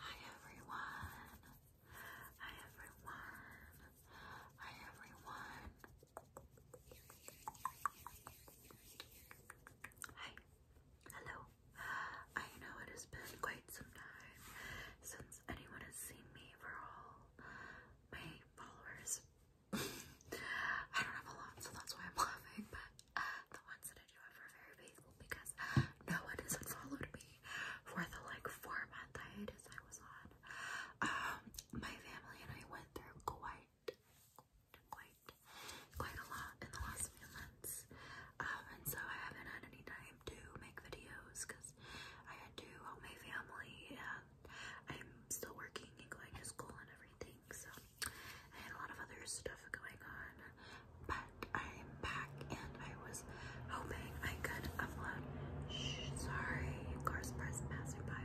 Hi everyone. Hi everyone. Hi everyone. Hi. Hello. I know it has been quite some time since anyone has seen me for all my followers I don't have a lot, so that's why I'm laughing. But uh, the ones that I do have are very faithful because no one has followed me for the like four month hiatus I was on. Um, my family and I went through quite, quite, quite a lot in the last few months. Um, and so I haven't had any time to make videos because I had to help my family and I'm still working and going to school and everything. So I had a lot of other stuff going on, but I'm back and I was hoping I could upload. sorry, cars passing by,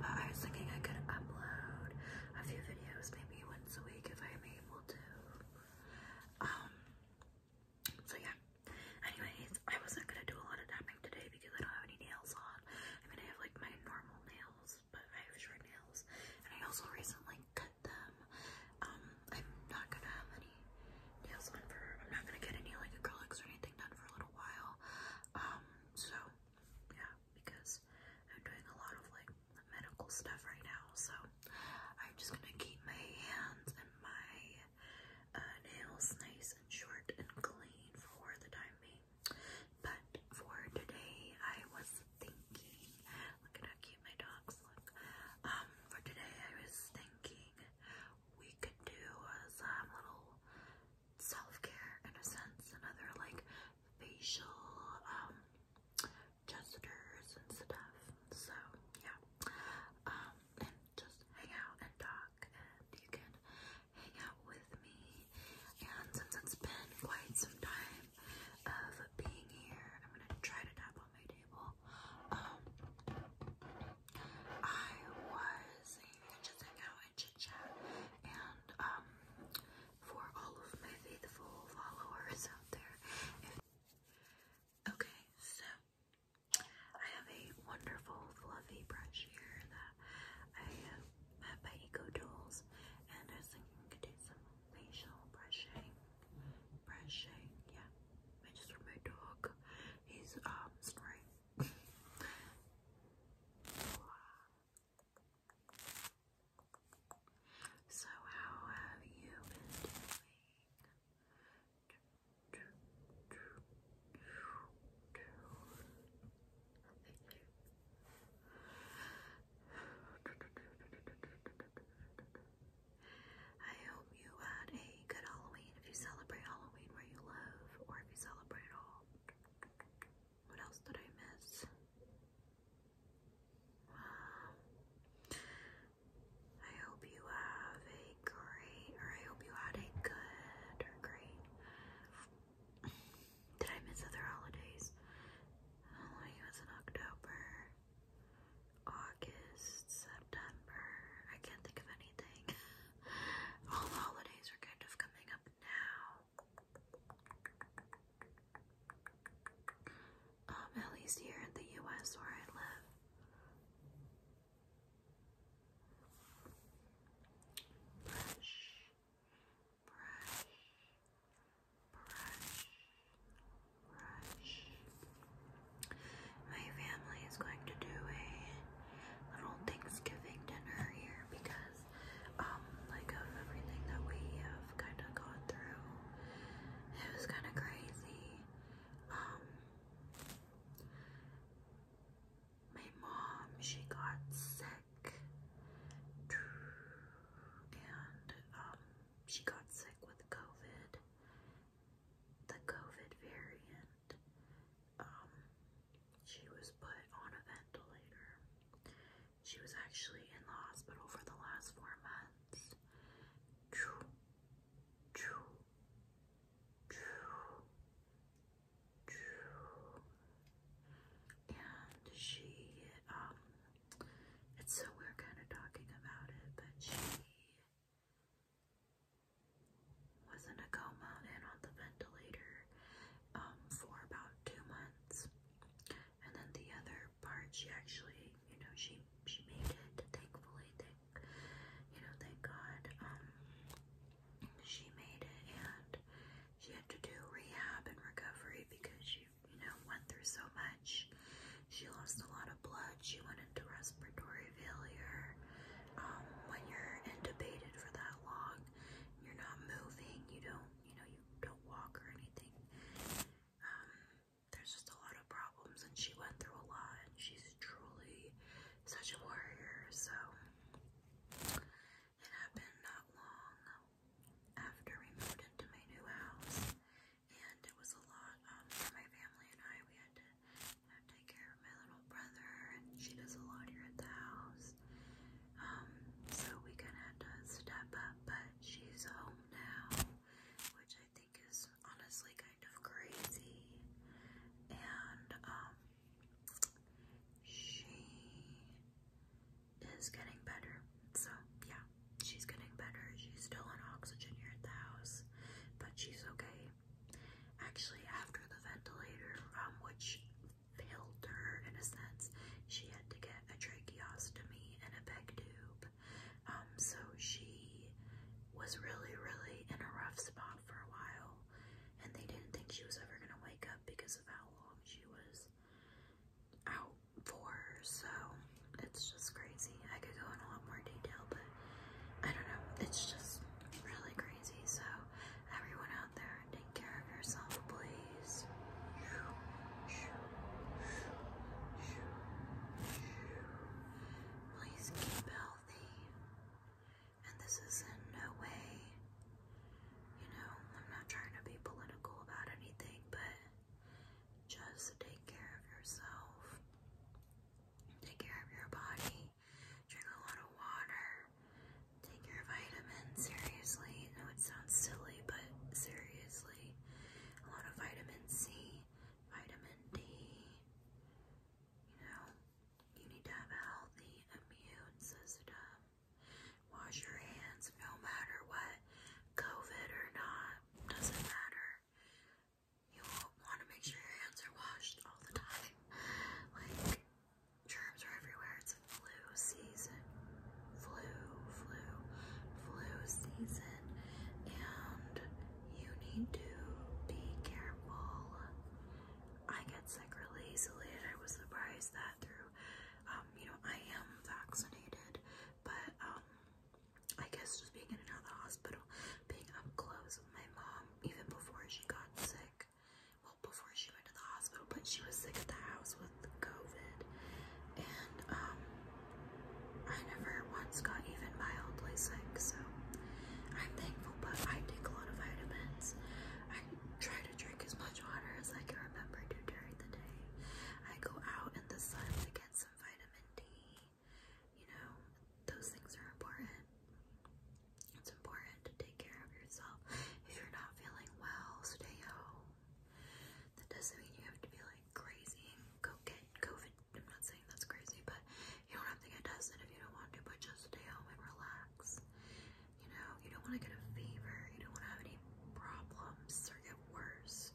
but I was thinking I could upload a few videos maybe once a week if I'm able to. Um. So yeah. Anyways, I wasn't gonna do a lot of tapping today because I don't have any nails on. I mean, I have like my normal nails, but I have short nails, and I also recently cut them. Um, I'm not gonna have any nails on for. I'm not gonna get any like acrylics or anything done for a little while. Um, so yeah, because I'm doing a lot of like medical stuff right now, so I'm just gonna keep my hands and my uh, nails nice and short and clean for the time being. But for today, I was thinking. Look at how cute my dogs look. Um, for today, I was thinking we could do uh, little self-care in a sense, another like facial um gestures and stuff. So yeah, um, and just hang out and talk, and you can hang out with me. And since it's been quite some time of being here. I'm gonna try to tap on my table. Um, I was just hang out and chit chat, and um, for all of my faithful followers out there. okay, so I have a wonderful fluffy brush here that I Met by Eco and I am thinking we could do some facial brushing. Brushing, yeah. I just removed my dog. He's um snoring. so how have you been doing? I hope you had a good Halloween if you celebrate Halloween where you live or if you celebrate all. What else did I miss? I hope you have a great, or I hope you had a good, or great, did I miss other holidays? Halloween oh, was in October, August, September. I can't think of anything. All the holidays are kind of coming up now. Um, at least here in the US where I live. Brush, brush, brush, brush. My family is going to do a little Thanksgiving dinner here because, um, like of everything that we have kind of gone through, it was kind of crazy. Um, my mom, she got sick and um, she got sick with COVID, the COVID variant. Um, she was put on a ventilator. She was actually in the hospital for the last four months. And she um so we're kind of talking about it, but she was in a coma and on the ventilator um, for about two months. And then the other part, she actually, you know, she she made it. Thankfully, you know, thank God. Um, she made it, and she had to do rehab and recovery because she you know, went through so much. She lost a lot of blood. She went into respiratory failure. Um, when you're intubated for that long, you're not moving. You don't, you know, you don't walk or anything. Um, there's just a lot of problems, and she went through a lot. And she's truly such a warrior. So it happened not long after we moved into my new house, and it was a lot um, for my family and I. We had to take care of my little brother, and she does a lot here at the house. Um, so we kind of had to step up, but she's home now, which I think is honestly kind of crazy. And um, she is getting better. So, yeah, she's getting better. She's still on oxygen here at the house, but she's okay. Actually, after the ventilator, um, which failed her in a sense, she had to get a tracheostomy and a peg tube. Um, so she was really, really in a rough spot for a while, and they didn't think she was ever gonna wake up because of how long she was out for, so it's just crazy. I could go in a lot more detail, but I don't know. It's just really crazy. So everyone out there, take care of yourself, please. Please keep healthy. And this is in no way, you know, I'm not trying to be political about anything, but just take care of yourself. Take care of your body. Drink a lot of water. Take your vitamins seriously. I know it sounds silly, but seriously. A lot of vitamin C, vitamin D. You know, you need to have a healthy immune system. Wash your hands no matter what, COVID or not, doesn't matter. You want to make sure your hands are washed all the time. Like, germs are everywhere. It's flu season. Flu, flu, flu season. And you need to be careful. I get sick really easily, and I was surprised that through, um, you know, I am vaccinated. But um, I guess just being in and out of the hospital, being up close with my mom, even before she got sick, well, before she went to the hospital, but she was sick at the house with COVID. And um, I never once got even mildly sick, so I'm thankful. But I take a lot of vitamins. I try to drink as much water as I can remember to during the day. I go out in the sun to get some vitamin D. You know, those things are important. It's important to take care of yourself. If you're not feeling well, stay home. That doesn't mean you have to be like crazy and go get COVID. I'm not saying that's crazy, but you don't have to get tested if you don't want to, but just stay home and relax. You know, you don't want to get a fever, you don't want to have any problems or get worse.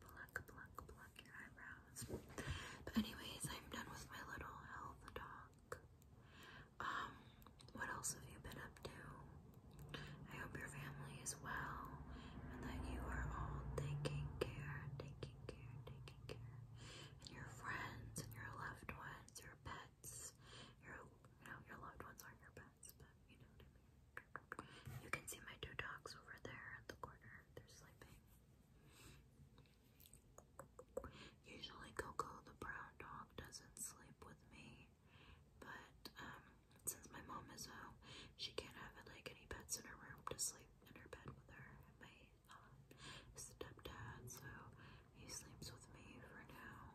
Pluck, pluck, pluck your eyebrows. But anyways, I'm done with my little health talk. Um, what else have you been up to? I hope your family is well and that you are all taking care, taking care, taking care. And your friends and your loved ones, your pets, your you know, your loved ones aren't your pets, but you know what I mean? You can see my two dogs over there at the corner. They're sleeping. Usually Coco the brown dog doesn't sleep with me. But um, since my mom is home, she can't have like any pets in her room to sleep in her bed with her my uh, stepdad, so he sleeps with me for now.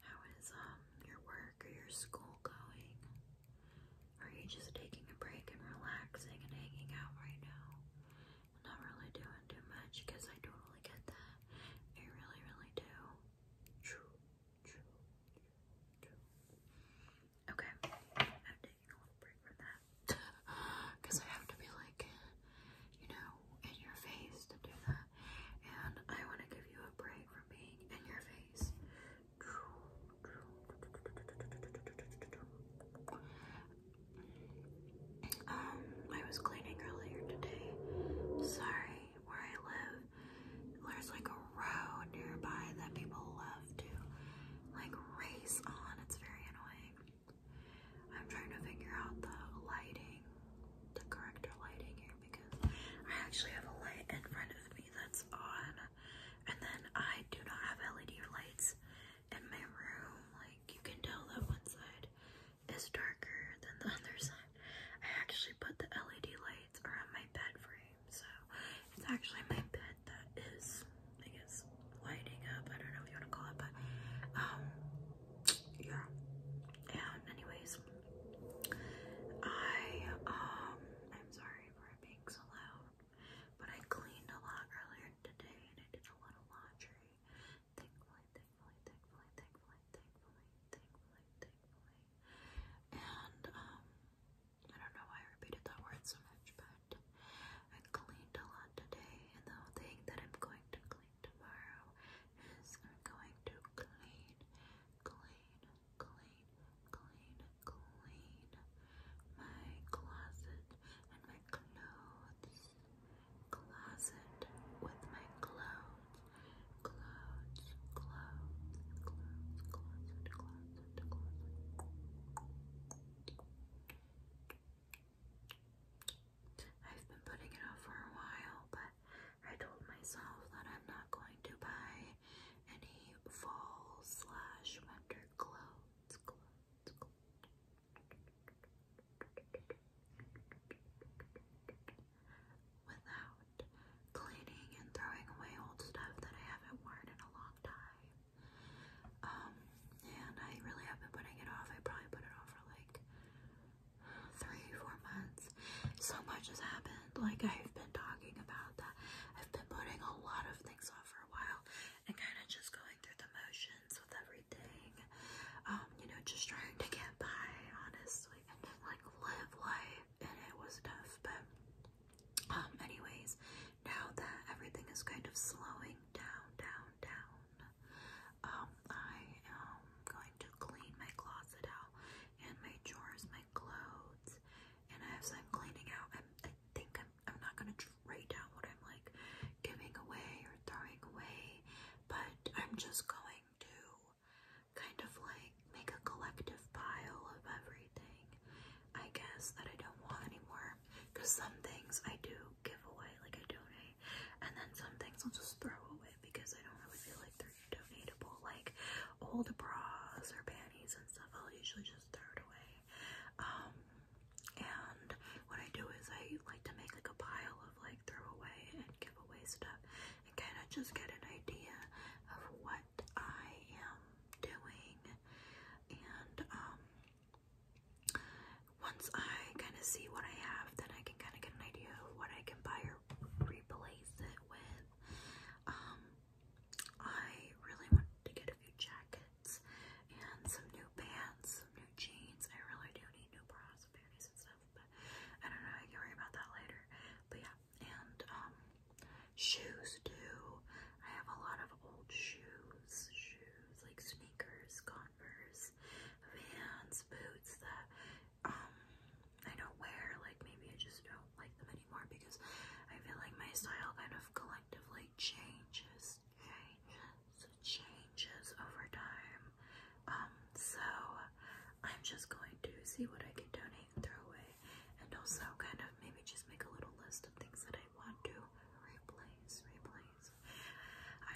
How is um your work or your school going? Are you just taking a break and relaxing and hanging out right now? I'm not really doing too much because I totally get that. I really, really do. True, true, true, Okay, I'm taking a little break from that because I have to be like you know, in your face to do that. And I want to give you a break from being in your face. Um, I was cleaning earlier today. Sorry, where I live, there's like a road nearby that people love to like race on. It's very annoying. I'm trying to figure out the lighting, the corrector lighting here because I actually have a light in front of me that's on, and then I do not have LED lights in my room. Like you can tell that one side is darker than the other side. I actually put the LED lights around my bed frame, so it's actually my bed that is, I guess, lighting up. I don't know what you want to call it, but um, yeah. And um, anyways, I um I'm sorry for being so loud, but I cleaned a lot earlier today and I did a lot of laundry. Thankfully, thankfully, thankfully, thankfully, thankfully, thankfully, thankfully. And um I don't know why I repeated that word so much, but I cleaned a lot today and the thing that I'm going to clean tomorrow is I'm going to clean, clean, clean, clean, clean my closet and my clothes. Closet with my clothes. Clothes, clothes, clothes, closet, closet, closet. I've been putting it off for a while, but I told myself that I'm not going to buy any fall slash winter clothes. Without cleaning and throwing away old stuff that I haven't worn in a long time. Um, and I really have been putting it off. I probably put it off for like three, four months, so much has happened. Like, I've been talking about that. I've been putting a lot of things off for a while and kind of just going through the motions with everything. Um, you know, just trying to get by, honestly, and like, live life. And it was tough, but, um, anyways, now that everything is kind of slowing down, down, down, um, I am going to clean my closet out and my drawers, my clothes, and I have cleaning out. i think I'm not gonna write down what I'm like giving away or throwing away, but I'm just going to kind of like make a collective pile of everything, I guess, that I don't want anymore. Because some things I do give away, like I donate, and then some things I'll just throw away it because I don't really feel like they're donatable. Like old bras or panties and stuff, I'll usually just throw it away. Um, and what I do is I like to make like a pile of like throw away and give away stuff and kind of just get an idea of what I am doing and um once I kind of see what I have, then I can kind of get an idea of what I can buy or replace it with. Um, I really want to get a few jackets and some new pants, some new jeans. I really do need new bras panties and stuff, I don't know. I can worry about that later. But yeah, and um, shoes too. I have a lot of old shoes, shoes like sneakers, Converse, Vans, boots that um, I don't wear. Like maybe I just don't like them anymore because I feel like my style kind of collectively changes, changes, changes over time. Um, so I'm just going to see what I can donate and throw away, and also kind of maybe just make a little list of things that I want to replace, replace.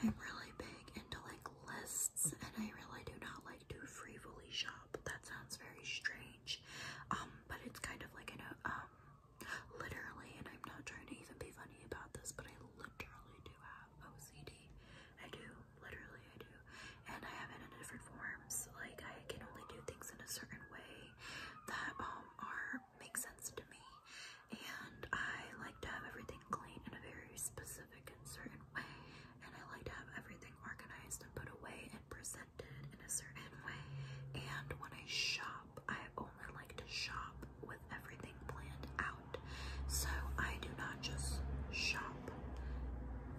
I'm really big into like lists, and I really do not like to frivoli shop. That sounds very strange, um, but it's kind of like an uh, um, literally, and I'm not trying to even be funny about this, but I literally do have OCD. I do, literally, I do, and I have it in different forms. Like I can only do things in a certain way that um are make sense to me, and I like to have everything clean in a very specific specific and certain way, and I like to have everything organized and put away and presented in a certain way. And when I shop, I only like to shop with everything planned out. So I do not just shop.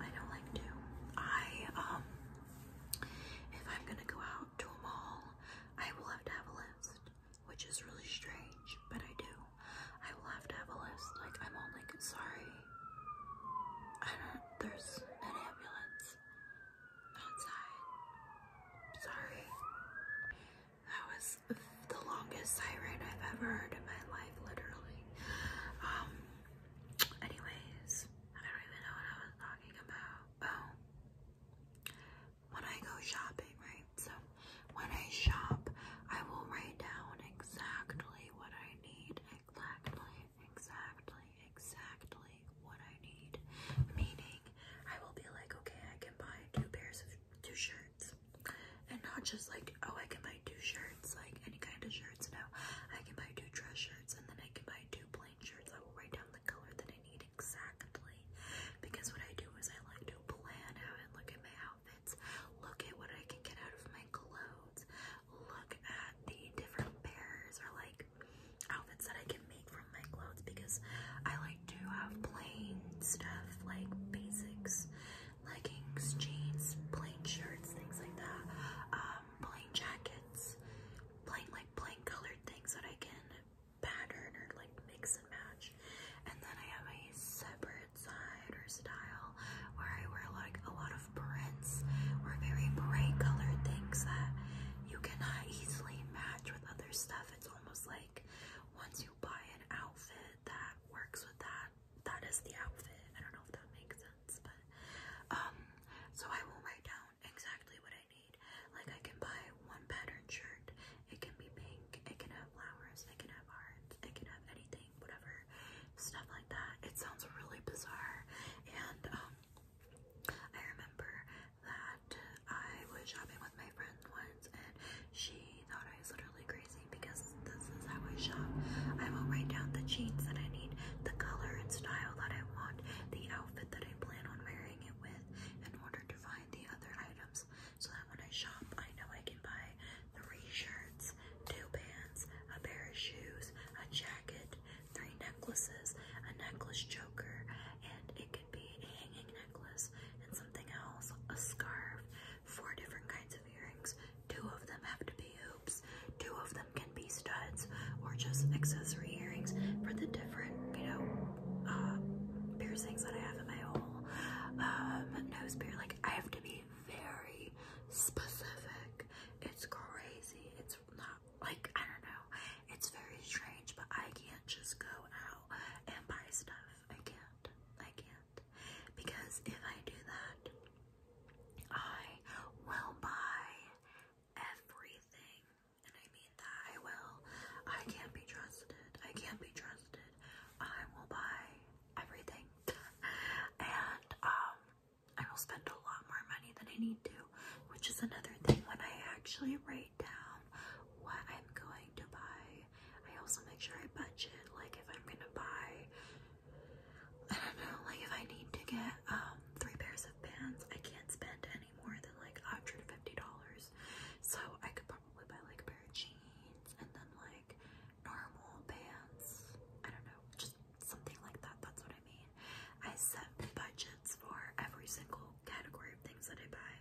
I don't like to. I um if I'm gonna go out to a mall, I will have to have a list, which is really strange, but I do. I will have Like, I'm only sorry. I don't, there's an ambulance outside. Sorry. That was the longest siren I've ever heard in my life, literally. Um, anyways, I don't even know what I was talking about. Oh, when I go shopping, right? So, when I shop, I will write down exactly what I need. Exactly, exactly, exactly what I need. Meaning, I will be like, okay, I can buy two pairs of two shirts. And not just like, oh, I can buy two shirts, like any kind of shirts. No, I can buy two dress shirts and then I can buy two plain shirts. I will write down the color that I need exactly. Because what I do is I like to plan out and look at my outfit Look at what I can get out of my clothes. Look at the different pairs or like outfits that I can make from my clothes because I like to have plain stuff like basics, leggings, jeans, plain shirts, things like that, um, plain jackets, plain like plain colored things that I can pattern or like mix and match. And then I have a separate side or style where I wear like a lot of prints or very bright colored things that you cannot easily match with other stuff. It's almost like once you buy an outfit that works with that, that is the outfit. I don't know if that makes sense, but um, so I will write down exactly what I need. Like I can buy one pattern shirt, it can be pink, it can have flowers, it can have hearts, it can have anything whatever, stuff like that. It sounds really bizarre. And um, I remember that I was shopping with my friend once and she thought I was literally crazy because this is how I shop. I will write down the jeans that I need, the color and style that I want, the outfit that I plan on wearing it with in order to find the other items so that when I shop, I know I can buy three shirts, two pants, a pair of shoes, a jacket, three necklaces, a necklace joker, and it could be a hanging necklace and something else, a scarf, four different kinds of earrings. Two of them have to be hoops, two of them can be studs or just accessory earrings for the different, you know, uh, piercings that I have in my whole um, nose beard. Like, I have to be very, specific. It's crazy. It's not like I don't know. It's very strange, but I can't just go out and buy stuff. I can't. I can't. Because if I do that, I will buy everything. And I mean that I will. I can't be trusted. I can't be trusted. I will buy everything. and um I will spend a lot more money than I need to, which is another thing when I actually write down what I'm going to buy. I also make sure I budget like if I'm going to buy I don't know, like if I need to get um three pairs of pants, I can't spend any more than like $150. So I could probably buy like a pair of jeans and then like normal pants. I don't know, just something like that. That's what I mean. I set budgets for every single category of things that I buy.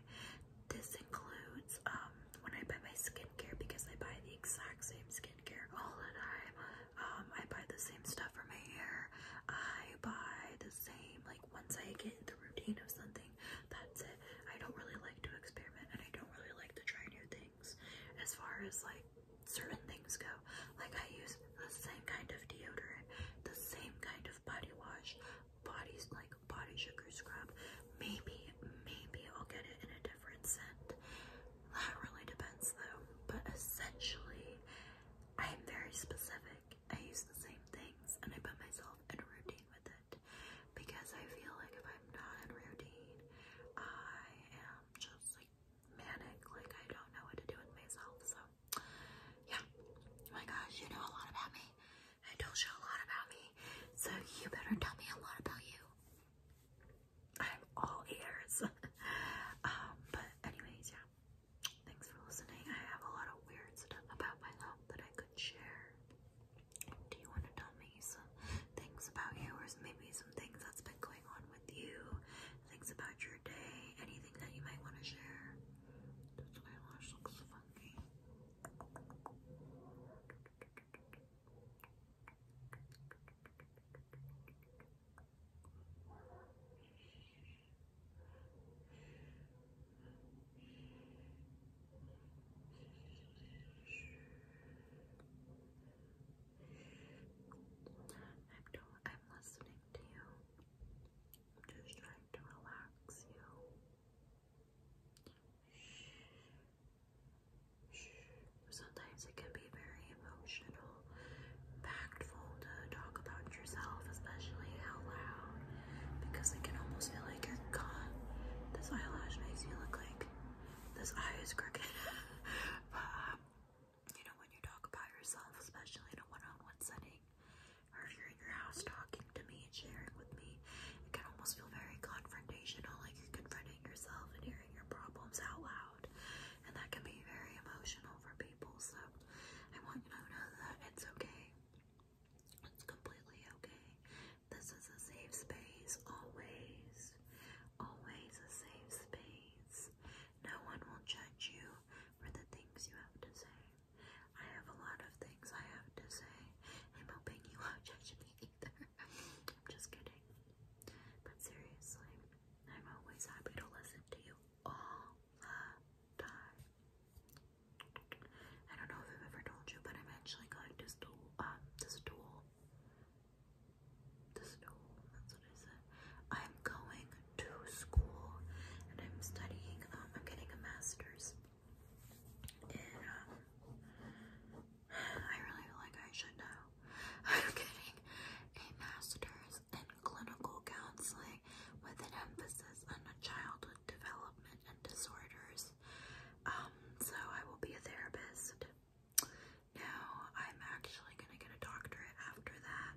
This includes um, when I buy my skincare because I buy the exact same skincare all the time. Um, I buy the same stuff for my hair. I buy the same like once I get in the routine of something, that's it. I don't really like to experiment and I don't really like to try new things as far as like certain things go. Like I use the same kind of deodorant, the same kind of body wash, bodies like body sugar scrub. Maybe, maybe I'll get it in a different scent. That really depends though. But essentially, I am very specific. I use the same things and I put myself in a routine with it because I feel like if I'm not in routine, I am just like manic, like I don't know what to do with myself. So yeah. Oh my gosh, you know a lot about me. I told you a lot about me. So you better tell me a lot about you. I'm all ears. um, but anyways, yeah. Thanks for listening. I have a lot of weird stuff about myself that I could share. Do you want to tell me? me some things about you, or maybe some things that's been going on with you, things about your day, anything that you might want to share. This eyelash looks funky. I'm, do I'm listening to you. just trying to relax you. Sometimes it can be very emotional, impactful to talk about yourself, especially out loud, because it can almost feel like you're gone. This eyelash makes you look like this eye is crooked. But, um, you know, when you talk about yourself, especially in a one on one setting, or if you're in your house talking to me and sharing with me, it can almost feel very confrontational, like you're confronting yourself and hearing your problems out loud. And that can be very emotional for people. So, I want you to know that it's okay. It's completely okay. This is a safe space, always. Always a safe space. No one will judge you for the things you have to say. I have a lot of things I have to say. I'm hoping you won't judge me either. I'm just kidding. But seriously, I'm always happy to listen to you all the time. I don't know if I've ever told you, but I'm actually going to school, um, to school I am going to school and I'm studying, um, I'm getting a master's. Um, I really feel like I should know. I'm getting a master's in clinical counseling with an emphasis on childhood development and disorders. Um, so I will be a therapist. Now I'm actually gonna get a doctorate after that.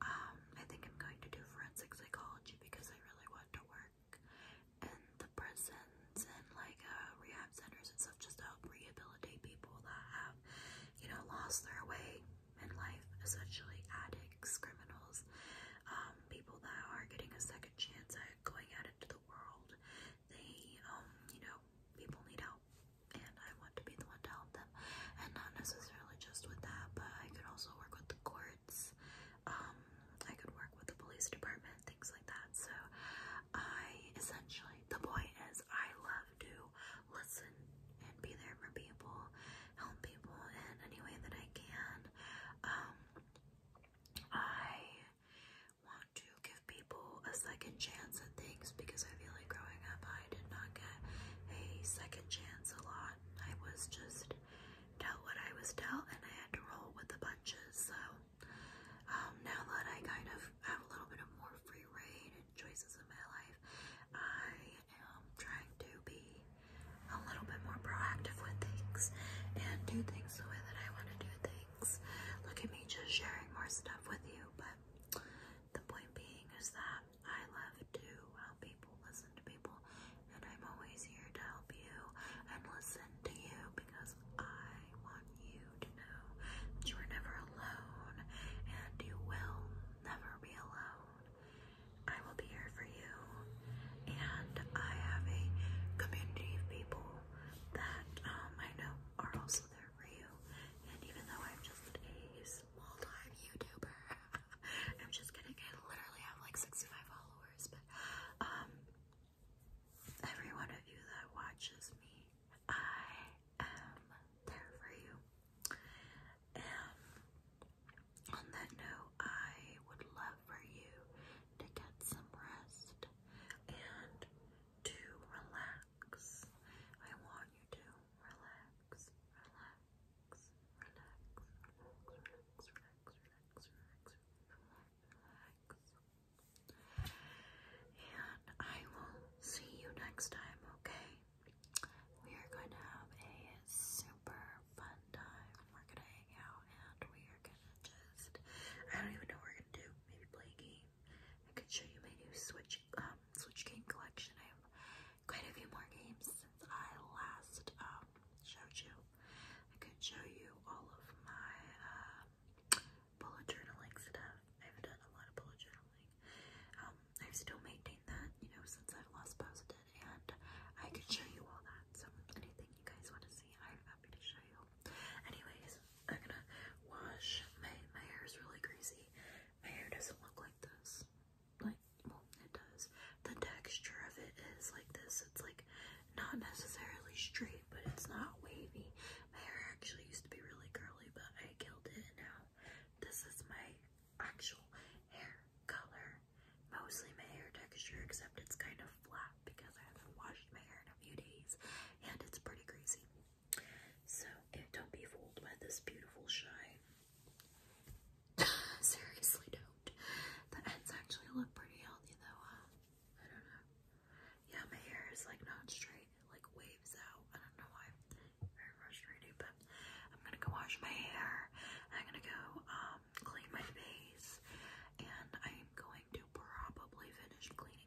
Um, I think I'm going to do forensic psychology because I really want to work in the prisons and like uh, rehab centers and stuff just to help rehabilitate people that have, you know, lost their way in life, essentially addicts, criminals, um, people that are getting a second chance at going out into the world. They, um, you know, people need help out. And I want to be the one to help them. And not necessarily just with that, but I could also work with the courts. Um, I could work with the police department, things like that. So I essentially, the point is I love to listen and be there for people, help people in any way that I can. Um, I want to give people a second chance at things because I feel like growing up I did not get a second chance a lot. I was just dealt what I was dealt and I had to roll with the bunches. So um, now that I kind of have a little bit of more free reign and choices in my life, I am trying to be a little bit more proactive with things and do things the way that I want to do things. Look at me just sharing more stuff with you, but but the point being is that I love to help people, listen to people, and I'm always here to help you and listen to you because I want you to know that you are never alone and you will never be alone. I will be here for you, and I have a community of people that um, I know are also there for you. And even though I'm just a small time YouTuber, I'm just kidding. I literally have like 65 followers, but um, every one of you that watches me, I am there for you. And on that note, I would love for you to get some rest and to relax. I want you to relax, relax, relax, relax, relax, relax, relax, relax, relax. And I will see you next time, okay? We are going to have a super fun time. We're going to hang out and we are going to just, I don't even know we're going to do. Maybe play a game. I could show you my new Switch um, Switch game collection. I have quite a few more games since I last um, showed you. I could show you all of my um, bullet journaling stuff. I've done a lot of bullet journaling. i still maintained that, you know, since I've last posted, and I could show you all that. So anything you guys want to see, I'm happy to show you. Anyways, I'm gonna wash. My, my hair is really greasy. My hair doesn't look like this. Like, well, it does. The texture of it is like this. It's like not necessarily straight, but it's not wavy. My hair actually used to be really curly, but I killed it, now this is my actual hair color. Mostly my hair texture, except it's kind of flat because I haven't washed my hair in a few days, and it's pretty greasy. So don't be fooled by this beautiful shine. Seriously, don't. The ends actually look pretty healthy though, huh? I don't know. Yeah, my hair is like not straight. like waves out. I don't know why. Very frustrating, but I'm gonna go wash my hair. I'm gonna go um, clean my face, and I'm going to probably finish cleaning